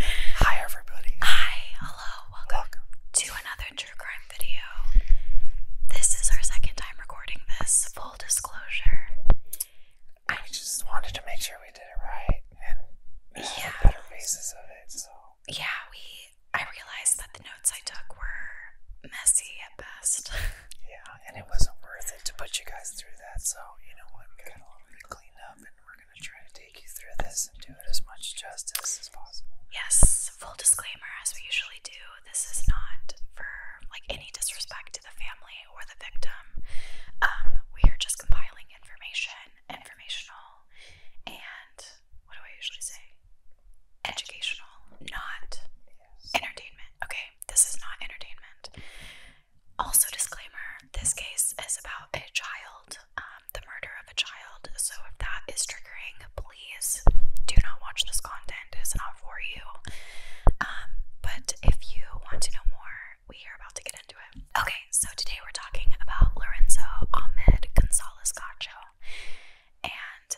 Hi everybody. Hi, hello, welcome, welcome to another true crime video. This is our second time recording this, full disclosure. I just wanted to make sure we did it right and yeah. better faces of it, so yeah, we I realized that the notes I took were messy at best. yeah, and it wasn't worth it to put you guys through that. So you know what, we got going to clean up, and we're gonna try to take you through this and do it as much justice as possible. Yes, full disclaimer, as we usually do. This is not for like any disrespect to the family or the victim. Um, we are just compiling information, informational, and what do I usually say? Educational, not entertainment. Okay, this is not entertainment. Also, disclaimer this case is about a child, um, the murder of a child. So, if that is triggering, please do not watch this content, it's not for you. Um, but if you want to know more, we are about to get into it. Okay, so today we're talking about Lorenzo Ahmed Gonzalez Gacho and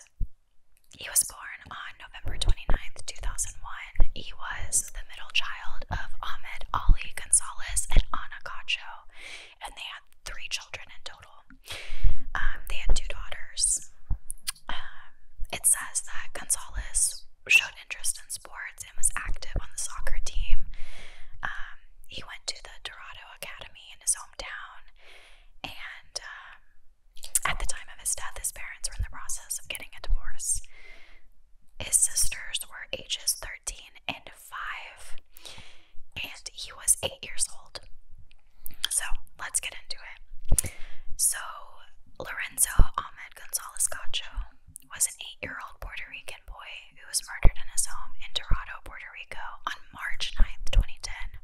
he was born on November 29th, 2001. He was the middle child of Ahmed Ali Gonzalez and Ana Cacho, and they had three children in total. Um, they had two daughters. Um, it says that Gonzalez showed interest in sports and was active on the soccer team. Um, he went to the Dorado Academy in his down And um, at the time of his death, his parents were in the process of getting a divorce. His sisters were ages 13 and 5, and he was 8 years old. So let's get into it. So, Lorenzo Ahmed Gonzalez Gacho was an 8 year old Puerto Rican boy who was murdered in his home in Dorado, Puerto Rico on March 9, 2010.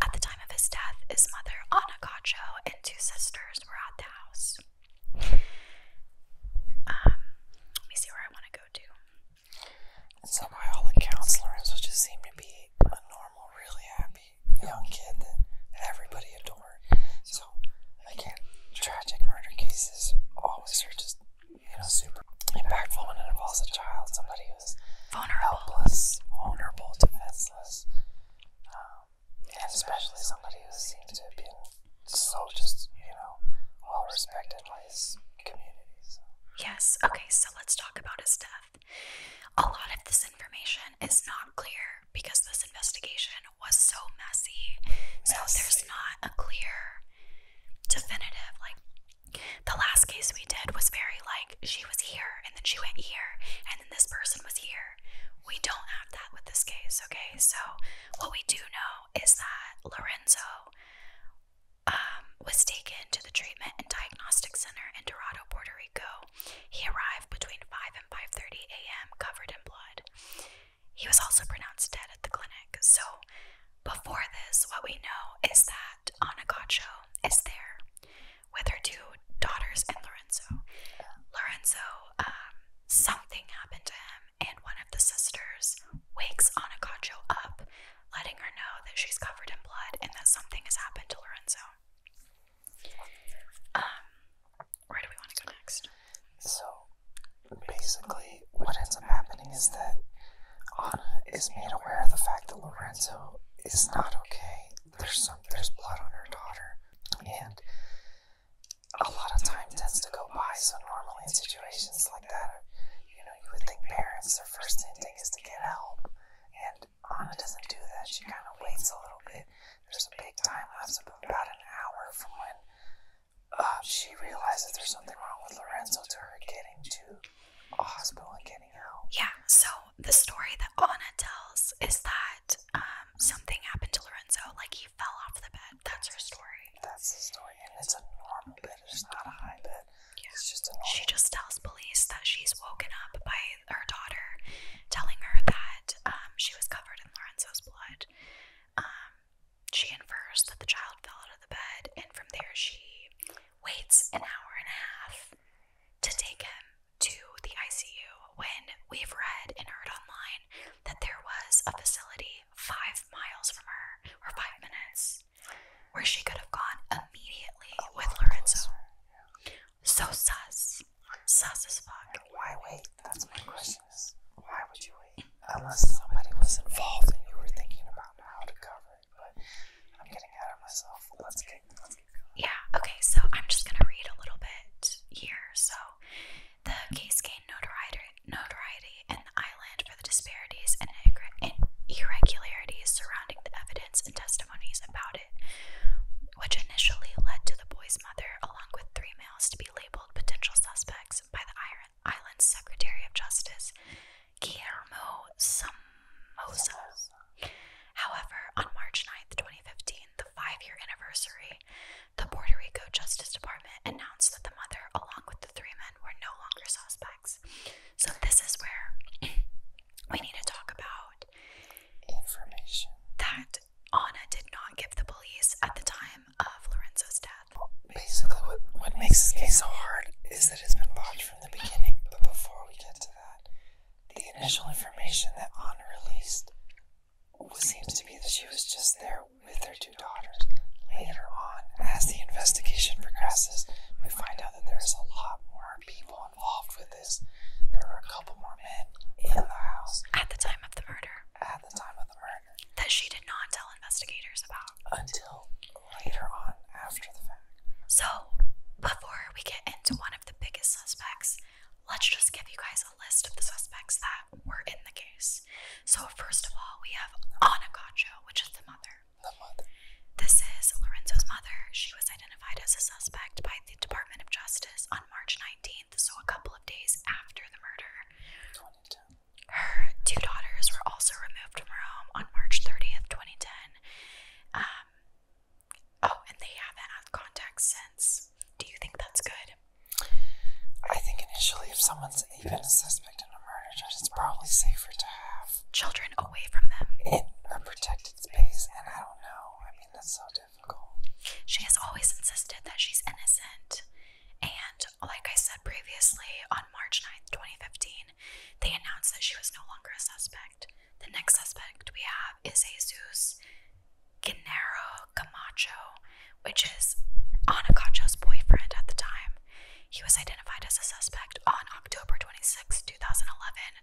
At the time of his death, his mother, Ana Cacho, and two sisters were at the house. Um, let me see where I want to go to. so by all accounts, Lorenzo just seemed to be a normal, really happy young kid that everybody adored. So, again, tragic murder cases always are just you know, super impactful when it involves a child, somebody who's vulnerable. helpless, vulnerable, defenseless, um, and especially somebody who seems to have been so just, you know, well respected by his community. Yes, okay, so let's talk about his death. A lot of this information is not clear because this investigation was so messy. So there's not a clear, definitive, like, the last case we did was very like she was here and then she went here and then this person was here. We don't have that with this case, okay? So, what we do know is that Lorenzo um, was taken to the treatment and diagnostic center in Dorado, Puerto Rico. He arrived between 5 and 5:30 a.m. covered in blood. He was also pronounced dead at the clinic. So, before this, what we know is that Anagacho is there with her two daughters and Lorenzo. Lorenzo, um, something happened to him, and one of the sisters wakes Anagacho up, letting her know that she's covered in blood and that something has happened to Lorenzo. Um, where do we want to go next? So, basically, what ends up happening is that Anna is made aware of the fact that Lorenzo is not okay. There's some there's blood on her daughter, and a lot of time tends to go by. So normally in situations like that, you know, you would think parents their first instinct is to get help, and Anna doesn't do that. She kind of waits a little bit. There's a big time lapse of about an hour from when uh, she realizes there's something wrong with Lorenzo to her getting to a hospital and getting out. Yeah, so the story that Anna tells is that um, something happened to Lorenzo, like he fell off the bed. That's her story. That's the story, and it's a normal bed, it's not a high bed. Yeah. It's just a normal She just tells police that she's woken up by her daughter telling her that um, she was covered in Lorenzo's blood. Um, she infers that the child fell out of the bed, and from there she waits an hour and a half to take him to the ICU. When we've read and heard online that there was a facility five miles from her, or five minutes, where she could have gone immediately oh, with Lorenzo. So sus, sus as fuck. why wait? That's my question. Is why would you wait? unless somebody was involved and you were thinking about how to cover it. But I'm getting out of myself. Let's get, let's get going. Yeah. Okay. So I'm just gonna read a little bit here. So the case gained notoriety, notoriety in the island for the disparities and irregularities surrounding the evidence and testimonies about it, which initially led to the boy's mother, along with three males, to be labeled potential suspects by the island's Secretary of Justice Guillermo Somoza. However, on March 9th, 2015, the five year anniversary, the Puerto Rico Justice Department announced that the mother, along with the three men, were no longer suspects. So, this is where we need to talk about information that Anna did not give the police at the time of Lorenzo's death. basically, what, what makes this case so hard is that it's been watched from the beginning, but before we get to that, the initial information that Anna released seems to be that she was just there with her two daughters. Later on, as the investigation progresses, we find out that there's a lot more people involved with this. There were a couple more men in the house. At the time of the murder. At the time of the murder that she did not tell investigators about until later on after the fact. So, before we get into one of the biggest suspects, let's just give you guys a list of the suspects that were in the case. So, first of all, we have Ana which is the mother. The mother. This is Lorenzo's mother. She was identified as a suspect by the Department of Justice on March 19th, so a couple of days after the murder. 22. Her two daughters were also removed from her home on March 30th, 2010. Um, oh, and they haven't had contact since. Do you think that's good? I think initially, if someone's even a suspect in a murder, it's probably safer to have children away from them in a protected space. And I don't know. I mean, that's so difficult. She has always insisted that she's innocent and like I said previously, on March 9th, 2015, they announced that she was no longer a suspect. The next suspect we have is Jesus Guinero Camacho, which is Anacacho's boyfriend at the time. He was identified as a suspect on October twenty sixth, 2011,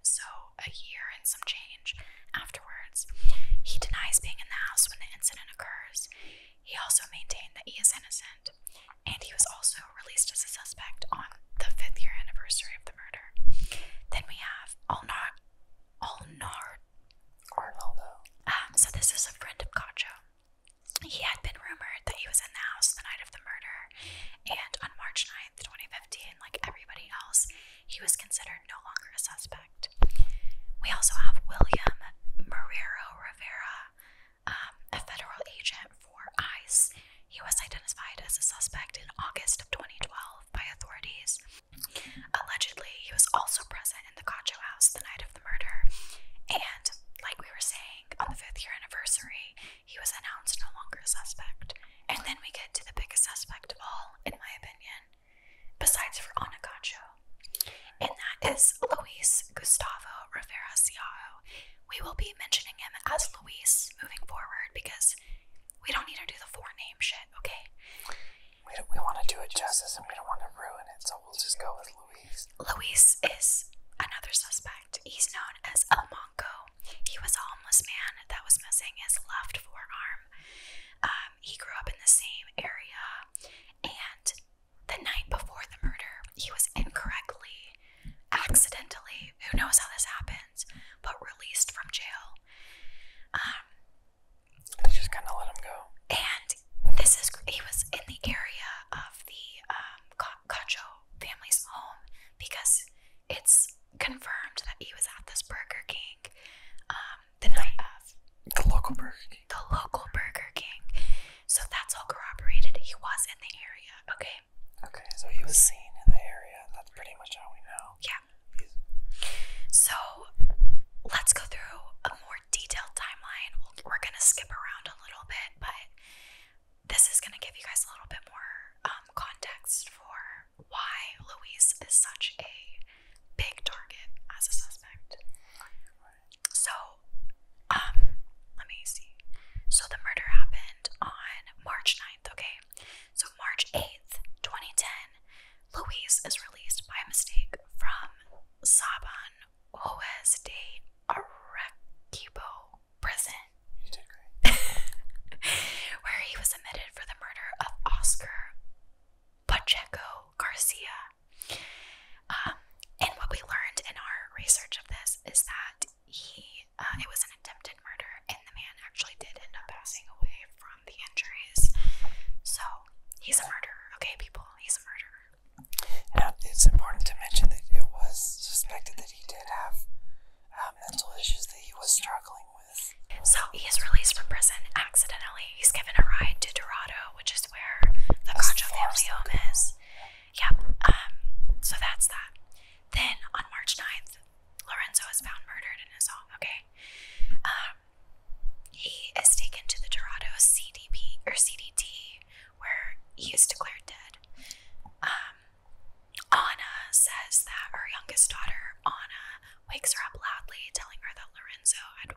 so a year and some change afterwards. He denies being in the house when the incident occurs. He also maintained that he is innocent, and he was also released as a suspect on the fifth year anniversary of the murder. Then we have Alnar Alnard Arnaldo. Um, so this is a friend of Cacho. He had been rumored that he was in the house the night of the murder, and on March 9th, 2015, like everybody else, he was considered no longer a suspect. We also have William Marrero Rivera, um, a federal agent for ICE. He was identified as a suspect in August of 2012 by authorities. Allegedly, he was also present in the Cacho house the night of the murder. And, like we were saying, on the fifth year anniversary, he was announced no longer a suspect. And then we get to the biggest suspect of all, in my opinion, besides for Onacacho, and that is Luis Gustavo Rivera Ciaro. We will be mentioning him as Luis moving forward because we don't need to do the four name shit, okay? We, want to do it justice and we don't want to ruin it, so we'll just go with Luis. Luis is another suspect. He's known as El Monco. He was a homeless man that was missing his left forearm. Um, he grew up in the same area and the night before the murder, he was incorrectly, accidentally, who knows how this happens, but released from jail. Um, they just kind of let him go. And this is, he was in the area of the um, Cacho family's home because it's confirmed that he was at this Burger King um, the night of. The local Burger King. The local Burger King. So that's all corroborated. He was in the area, okay? Okay, so he was seen in the area. That's pretty much how we know. Yeah. So let's go through a more detailed timeline. We're going to skip around a little bit, but this is going to give you guys a little bit more um, context for why Louise is such a big target as a suspect so um let me see. So the murder happened on March 9th, okay? So March 8th, 2010, Louise is released by mistake from Saban Oes de Arequipo prison. where he was admitted for the murder of Oscar Pacheco Garcia. Um, and what we learned in our research of this is that he, uh, it was an attempted murder, and the man actually did end up passing away from the injuries. So he's a murderer, okay, people? He's a murderer. Now, it's important to mention that it was suspected that he did have um, mental issues that he was struggling with. So he is released from prison accidentally. He's given a ride to Dorado which is where the Concho home is. Yep, um, so that's that. Then on March 9th, Lorenzo is found murdered in his home, okay? Um, he is taken to the Dorado CDP or CDT where he is declared dead. Um, Anna says that her youngest daughter, Anna, wakes her up loudly, telling her that Lorenzo had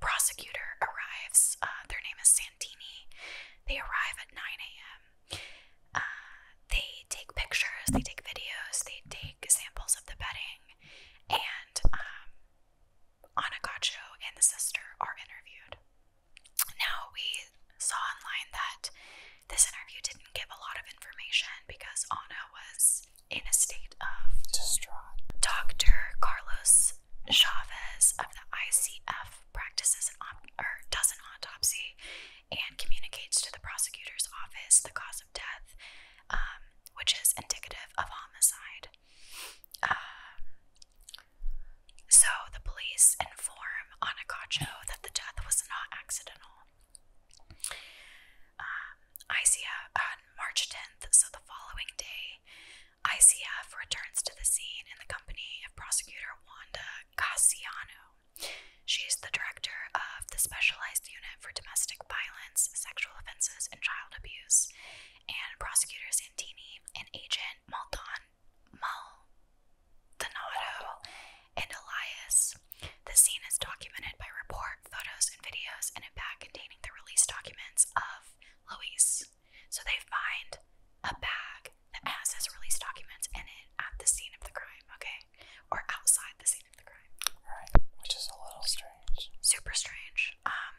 prosecutor arrives. Uh, their name is Santini. They arrive at 9 a.m. Uh, they take pictures, they take videos, they take samples of the bedding, and um, Anakacho and the sister are interviewed. Now, we saw online that this interview didn't give a lot of information because Anna was in a state of distraught. Dr. Carlos Chavez of the ICF practices an or does an autopsy and communicates to the prosecutor's office the cause of death, um, which is indicative of homicide. Um, so the police inform Anacacho that the death was not accidental. Uh, ICF on March 10th, so the following day, ICF returns to the scene in the company of prosecutor Wanda Cassiano. She is the director of the Specialized Unit for Domestic Violence, Sexual Offenses, and Child Abuse, and prosecutor Santini and agent Maldon Maldonado and Elias. The scene is documented by report photos and videos in a bag containing the release documents of Luis. So they find a bag that has his release documents in it at the scene of the crime, okay? Or outside the scene of the crime. Right, which is a little strange. Super strange. Um,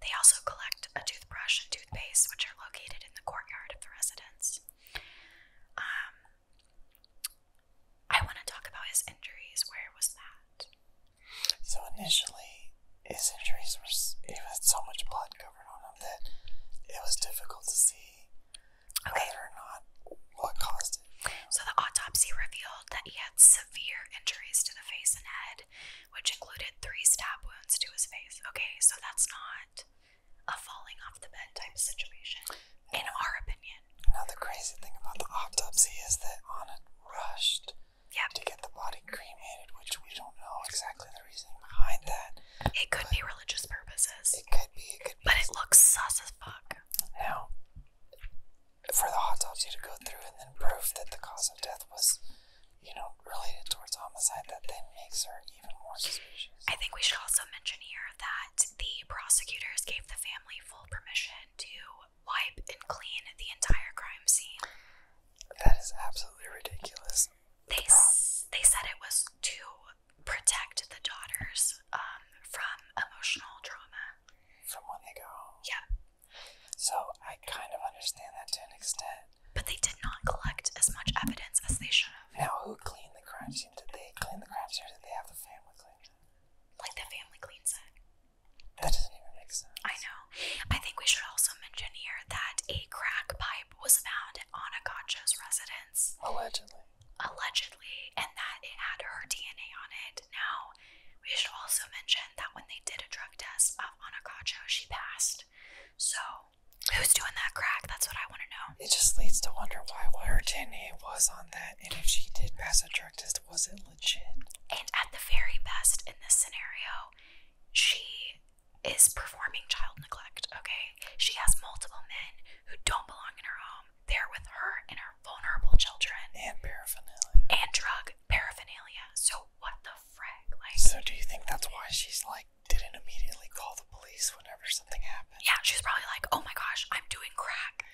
they also collect a toothbrush and toothpaste, which are located in the courtyard of the residence. Um, I want to talk about his injuries. Where was that? So initially, his injuries were he had so much blood covering on him that it was difficult to see okay. or not what caused it. So the autopsy revealed that he had severe injuries to the face and head, which included three stab wounds to his face. Okay, so that's not a falling off the bed type situation, in our opinion. Now the crazy thing about the autopsy is that on it rushed yeah. to get the body cremated, which we don't know exactly the reasoning behind that. It could be religious purposes. It could be. It could But it looks sus fuck. Now, for the autopsy to go through and then prove that the cause of death was, you know, related towards homicide, that then makes her even more suspicious. I think we should also mention here that the prosecutors gave the family full permission to wipe and clean the entire crime scene. That is absolutely ridiculous. They they said it was to protect the daughters um, from emotional trauma. From when they go home. Yeah. So I kind of understand that to an extent. But they did not collect as much evidence as they should have. Now, who cleaned the crime scene? Did they clean the crime scene, did they have the family clean it? Like the family cleans it. That doesn't even make sense. I know. I think we should also mention here that a crack pipe was found at Anacacho's residence. Allegedly. Allegedly, and that it had her DNA on it. Now, we should also mention that when they did a drug test of Anacacho, she passed. So, who's doing that crack? That's what I want to know. It just leads to wonder why, why her DNA was on that, and if she did pass a drug test, was it and at the very best in this scenario, she is performing child neglect, okay? She has multiple men who don't belong in her home. They're with her and her vulnerable children. And paraphernalia. And drug paraphernalia. So what the frick? Like So do you think that's why she's like didn't immediately call the police whenever something happened? Yeah, she's probably like, Oh my gosh, I'm doing crack.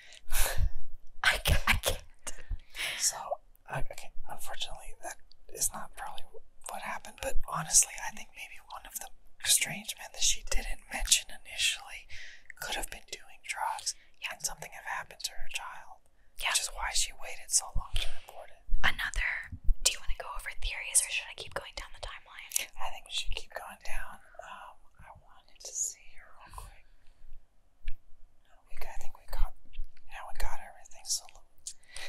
I can't. So, okay, unfortunately, that is not probably what happened, but honestly, I think maybe one of the strange men that she didn't mention initially could have been doing drugs and something have happened to her child, which is why she waited so long to report it. Another, do you want to go over theories or should I keep going down the timeline? I think we should keep going down. Um, I wanted to see here real quick. I think we got, now we got everything. So,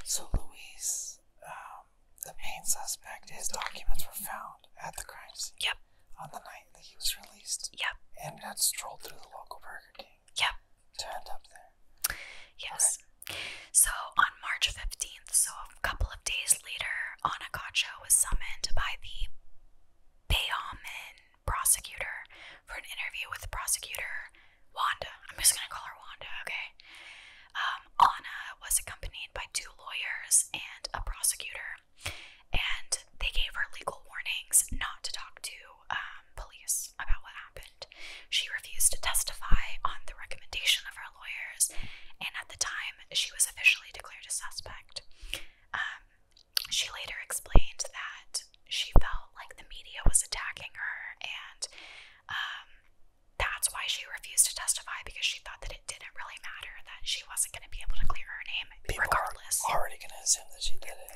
so Louise, um, the main suspect, his documents were found at the crime scene. Yep. On the night that he was released. Yep. And had strolled through the local Burger King. Yep. To end up there. Yes. So on March 15th, so a couple of days later, Anna was summoned by the Bayamon prosecutor for an interview with prosecutor Wanda. I'm just gonna call her Wanda, okay? Um, Anna was accompanied by two lawyers and a prosecutor, and they gave her legal warnings not to talk to um, police about what happened. She refused to testify on the recommendation of her lawyers, and at the time, she was officially declared a suspect. Um, she later explained that she felt like the media was attacking her, and um, that's why she refused to testify because she thought that it didn't really matter that she wasn't going to be able to clear her name regardless. already going to assume that she did it.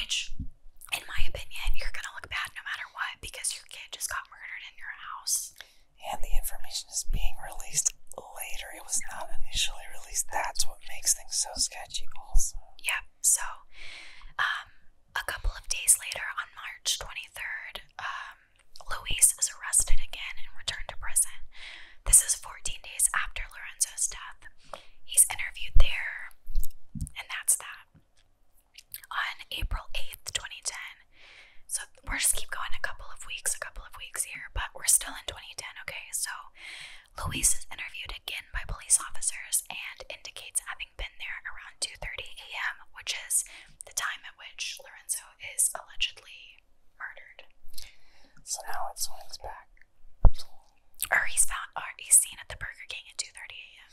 Which, in my opinion, you're going to look bad no matter what because your kid just got murdered in your house. And the information is being released later. It was not initially released. That's what makes things so sketchy, also. Yeah, so um, a couple of days later, on March 23rd, um, Luis is arrested again and returned to prison. This is 14 days after Lorenzo's death. He's interviewed there, and that's that. On April 8th, 2010, so we're just keep going a couple of weeks, a couple of weeks here, but we're still in 2010, okay? So Louise is interviewed again by police officers and indicates having been there around 2:30 a.m., which is the time at which Lorenzo is allegedly murdered. So now it swings back. Or he's found, or he's seen at the Burger King at 2:30 a.m.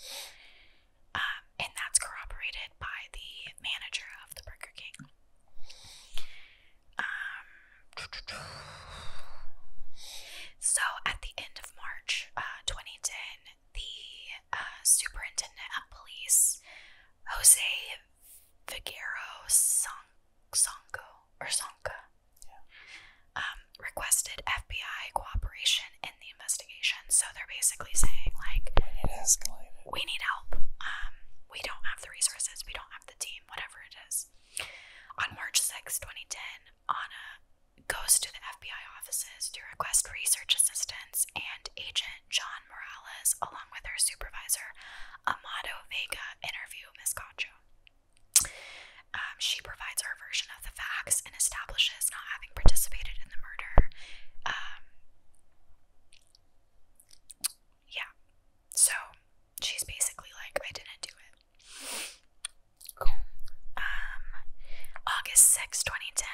Um, and that's corroborated by the manager of the Burger King. Um, so at the end of March uh, 2010, the uh, superintendent of police, Jose Figueroa Sanco or Sanca, um, requested FBI cooperation in the investigation. So they're basically saying, like, we need, We need help. Um, we don't have the resources. We don't have the team. Whatever it is. On March sixth, 2010, Anna goes to the FBI offices to request research assistance, and agent John Morales, along with her supervisor, Amado Vega, interview Miss Cacho. Um, she provides her version of the facts and establishes not having participated in the murder. Um, yeah, so she's basically like, I didn't do it. Um, August 6, 2010,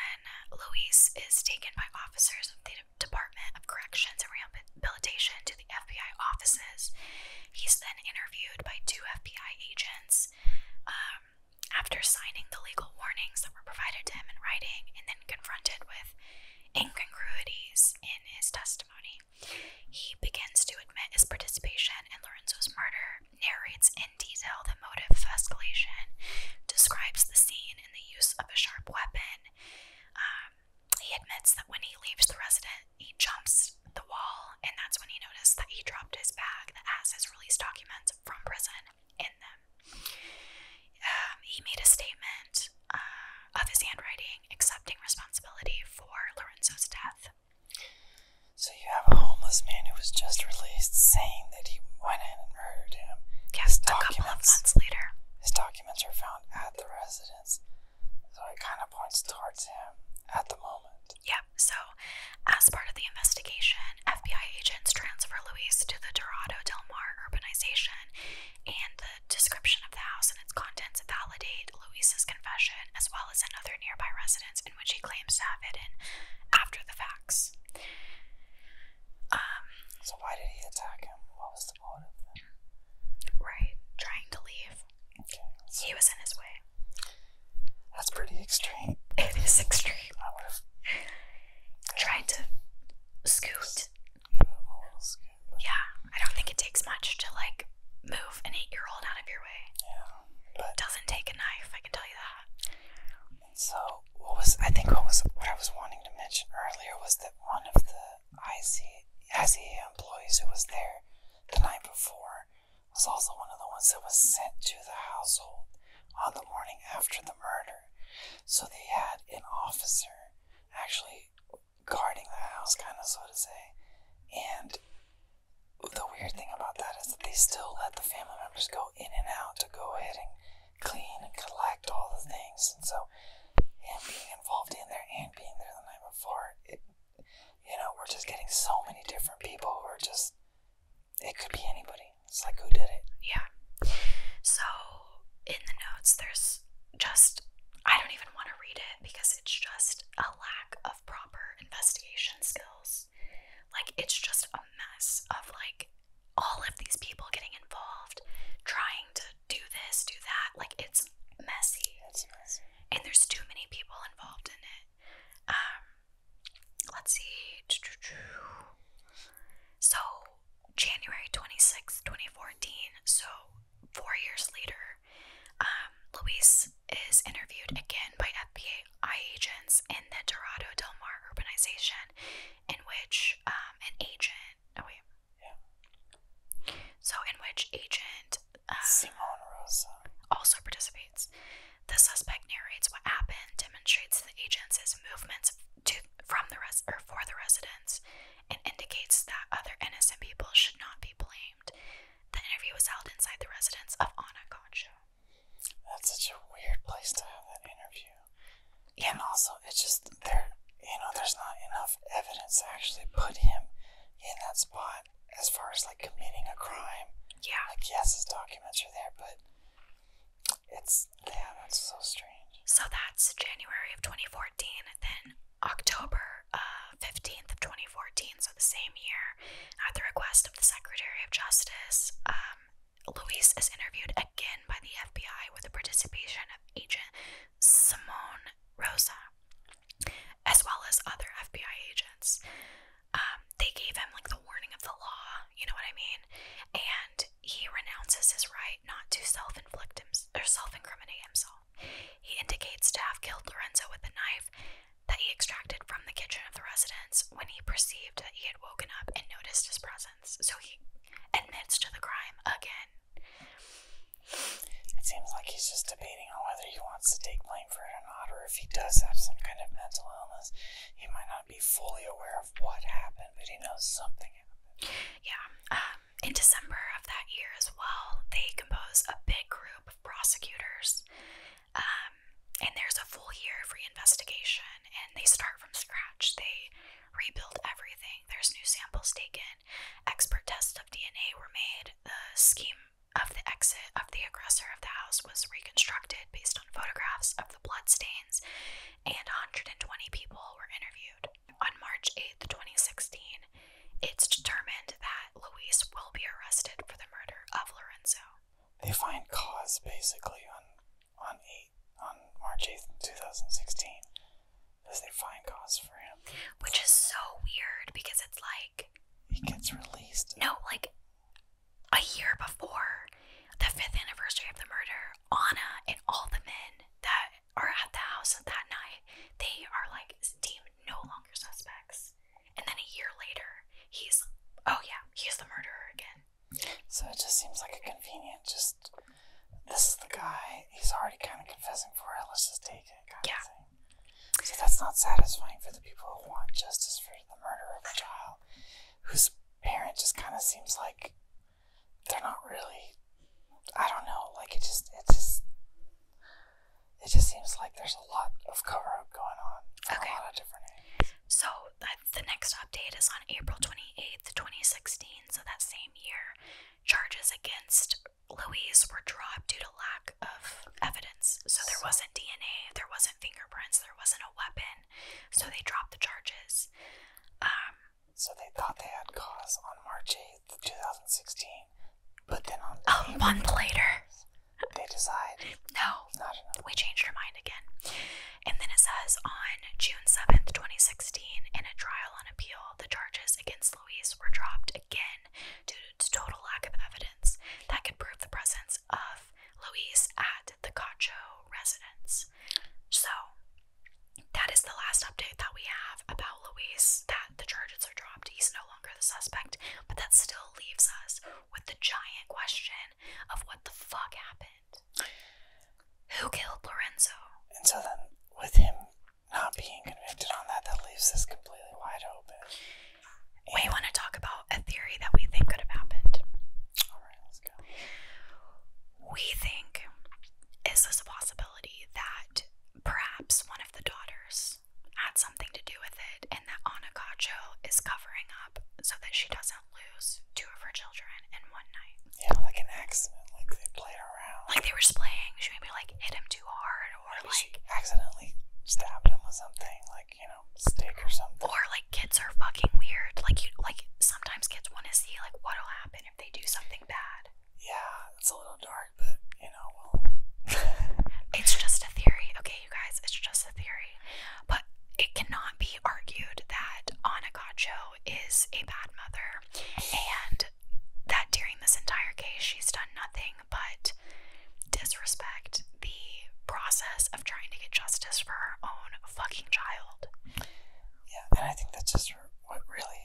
Luis is taken by officers of the Department of Corrections and Rehabilitation to the FBI offices. He's then interviewed by two FBI agents um, after signing the legal warnings that were provided to him in writing and then confronted with incongruities in his testimony. He begins to admit his participation in Lorenzo's murder, narrates in detail the motive of escalation, describes the scene and the use of a sharp weapon. Um, he admits that when he leaves the resident, he jumps the wall, and that's when he noticed that he dropped his bag that has his release documents from prison in them. Um, he made a statement uh, of his handwriting, accepting responsibility for Lorenzo's death. So you have a homeless man who was just released saying that he went in and murdered him. Yes, his a couple of months later. His documents are found at the residence. So it kind of points towards him at the moment. Yep. So as part of the investigation, FBI agents transfer Luis to the Dorado Del Mar urbanization and the description of the house and its contents validate Luisa's confession, as well as another nearby residence in which he claims to have hidden after the facts. Um, so, why did he attack him? What was the motive Right, trying to leave. he was in his way. That's pretty extreme. It is extreme. I would have tried to scoot yeah, I don't think it takes much to like move an eight-year-old out of your way. Yeah, doesn't take a knife. I can tell you that. so, what was I think what was what I was wanting to mention earlier was that one of the IC ICA employees who was there the night before was also one of the ones that was sent to the household on the morning after the murder. So they had an officer actually guarding the house, kind of, so to say. And the weird thing about that is that they still let the family members go in and out to go ahead and clean and collect all the things. And so, him being involved in there and being there the night before, you know, we're just getting so many different people we are just, it could be anybody. It's like, who did it? Yeah. So, in the notes, there's just, I don't even want to read it because it's just a lack of proper investigation skills. Like, it's just a mess of like all of these people getting involved, trying to do this, do that. Like, it's messy. It's messy. And there's too many people involved in it. Um, let's see. So, January 26th, 2014. So, four years later, um, Luis is interviewed again by FBI agents in the Dorado Del Mar urbanization, in which um, an agent. Oh wait. Yeah. So in which agent uh, Simone Rosa also participates. The suspect narrates what happened, demonstrates the agents' movements to from the res or for the residents, and indicates that other innocent people should not be blamed. The interview was held inside the residence of Anacostia. That's such a weird place to have that interview. And also, it's just there. You know, there's not enough evidence to actually put him in that spot as far as like committing a crime. Yeah. Like yes, his documents are there, but it's yeah, that's so strange. So that's January of 2014, then October uh, 15th of 2014, so the same year, at the request of the Secretary of Justice, um, Luis is interviewed again by the FBI with the participation of Agent Simone Rosa, as well as other FBI agents. Um, they gave him like the warning of the law, you know what I mean? And he renounces his right not to self inflict himself, or self incriminate himself. He indicates to have killed Lorenzo with a knife that he extracted from the kitchen of the residence when he perceived that he had woken up and noticed his presence. So he admits to the crime again. It seems like he's just debating on whether he wants to take blame for it or not, or if he does have some kind of mental illness, he might not be fully aware of what happened, but he knows something happened. Yeah. Um, in December of that year as well, they compose a big group of prosecutors, um, and there's a full year of reinvestigation, and they start from scratch. They rebuild everything. There's new samples taken, expert tests of DNA were made, the scheme of the exit of the aggressor of the house was reconstructed based on photographs of the blood stains, and 120 people were interviewed. On March 8th, 2016, it's determined that Luis will be arrested for the murder of Lorenzo. They find cause basically on on eight on March eighth, two thousand sixteen. Does they find cause for him? Which is so weird because it's like he gets released. No, like a year before the fifth anniversary of the murder, Anna and all the men that are at the house that night, they are like deemed no longer suspects. And then a year later, he's oh yeah, he's the murderer again. So it just seems like a convenient just this is the guy, he's already kind of confessing for it, let's just take it yeah. of See, that's not satisfying for the people who want justice for the murder of a child whose parent just kind of seems like they're not really. I don't know. Like it just, it just, it just seems like there's a lot of cover up going on. Okay. So the next update is on April twenty eighth, twenty sixteen. So that same year, charges against Louise were dropped due to lack of evidence. So there wasn't DNA, there wasn't fingerprints, there wasn't a weapon. So they dropped the charges. Um, so they thought they had cause on March 8th, 2016. But then on the month later, they decide no, We changed our mind again. And then it says on June 7th, 2016, in a trial on appeal, the charges against Louise were dropped again due to total lack of evidence that could prove the presence of Louise at the Cacho residence. So that is the last update that we have about Luis that the charges are dropped. He's no longer the suspect, but that still leaves us with the giant question of what the fuck happened. Who killed Lorenzo? And so then, with him not being convicted on that, that leaves this completely wide open. we want to talk about a theory that we think could have happened. Alright, let's go. We think, is this a possibility? that perhaps one of the daughters had something to do with it and that Anakacho is covering up so that she doesn't lose two of her children in one night. Yeah, like an accident, like they played around. Like they were playing, she maybe like hit him too hard or like accidentally stabbed him with something, like, you know, stick or something. Or like kids are fucking weird. Like you like sometimes kids wanna see like what'll happen if they do something bad. Yeah, it's a little dark, but you know, it's just a theory, okay, you guys. It's just a theory, but it cannot be argued that Anna Gacho is a bad mother, and that during this entire case she's done nothing but disrespect the process of trying to get justice for her own fucking child. Yeah, and I think that's just her what really,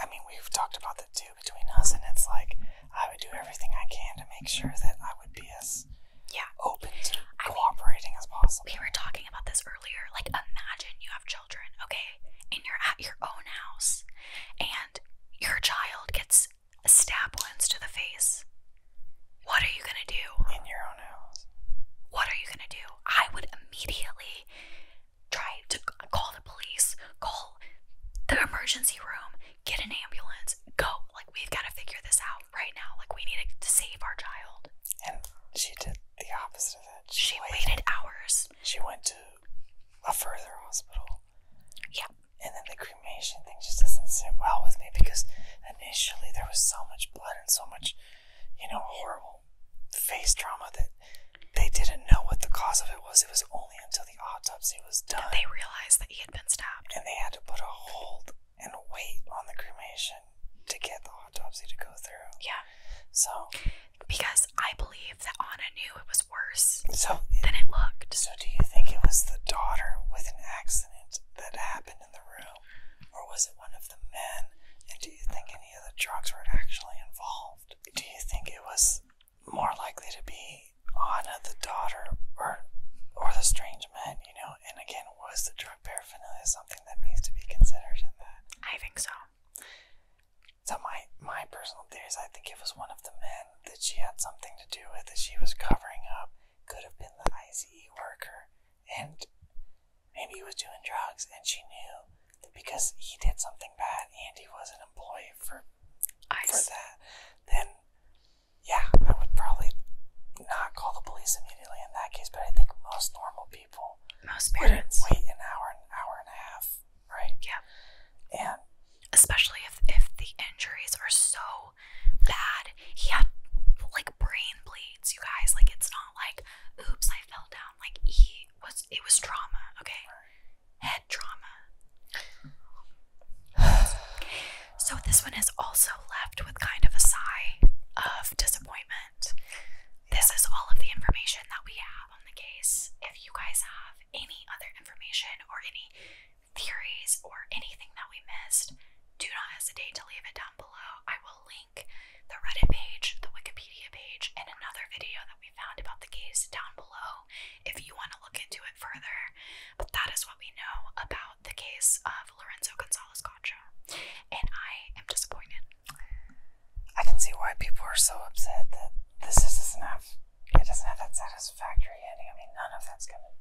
I mean, we've talked about the two between us, and it's like I would do everything I can to make sure that I would be as yeah open to cooperating as possible. We were talking about this earlier. Like, imagine you have children, okay, and you're at your own house, and your child gets a stab wounds to the face. What are you gonna do in your own house? What are you gonna do? I would immediately try to call the police, call the emergency room, get an ambulance, go. Like, we've got to figure this out right now. Like, we need to save our child. And she did the opposite of that. She, waited hours. She went to a further hospital. Yeah. And then the cremation thing just doesn't sit well with me because initially there was so much blood and so much, you know, horrible face trauma that they didn't know what the cause of it was. It was only until the autopsy was done. They realized that he had been stabbed. And they had to put a hold and wait on the cremation to get the autopsy to go through. Yeah. So. Because I believe that Anna knew it was worse so than it, looked. So, do you think it was the daughter with an accident that happened in the room? Or was it one of the men? And do you think of the drugs were actually involved. Do you think it was more likely to be Anna, the daughter, or or the strange man? You know, and again, was the drug paraphernalia something that needs to be considered in that? I think so. So my my personal theory is I think it was one of the men that she had something to do with that she was covering up. Could have been the ICE worker, and Maybe he was doing drugs and she knew because he did something bad and he was an employee for I for that. Then yeah, I would probably not call the police immediately in that case, but I think most normal people most parents wait an hour an hour and a half, right? Yeah. And especially if if the injuries are so bad. He had like brain bleeds, you guys. Like it's not like oops, I fell down. Like he was it was drama, okay? Head drama. so this one is also left with kind of a sigh of disappointment. This is all of the information that we have on the case. If you guys have any other information or any theories or anything that we missed, do not hesitate to leave it down below. I will the Reddit page, the Wikipedia page, and another video that we found about the case down below if you want to look into it further. But that is what we know about the case of Lorenzo Gonzalez Contra, and I am disappointed. I can see why people are so upset that this doesn't have it doesn't have that satisfactory ending. I mean, none of that's gonna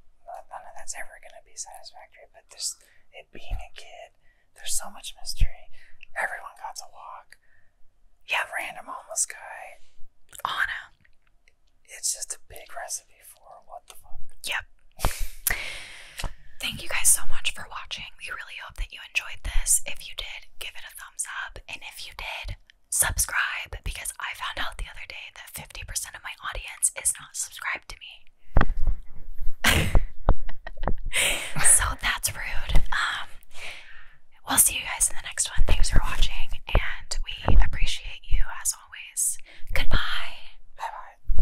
none of that's ever gonna be satisfactory. But this it being a kid there's so much mystery. Everyone got to walk. Yeah, random homeless guy. Anna. It's just a big recipe for what the fuck. Yep. Thank you guys so much for watching. We really hope that you enjoyed this. If you did, give it a thumbs up. And if you did, subscribe because I found out the other day that 50% of my audience is not subscribed to me. so that's rude. Um, we'll see you guys in the next one. Thanks for watching, and we appreciate you as always. Goodbye. Bye bye.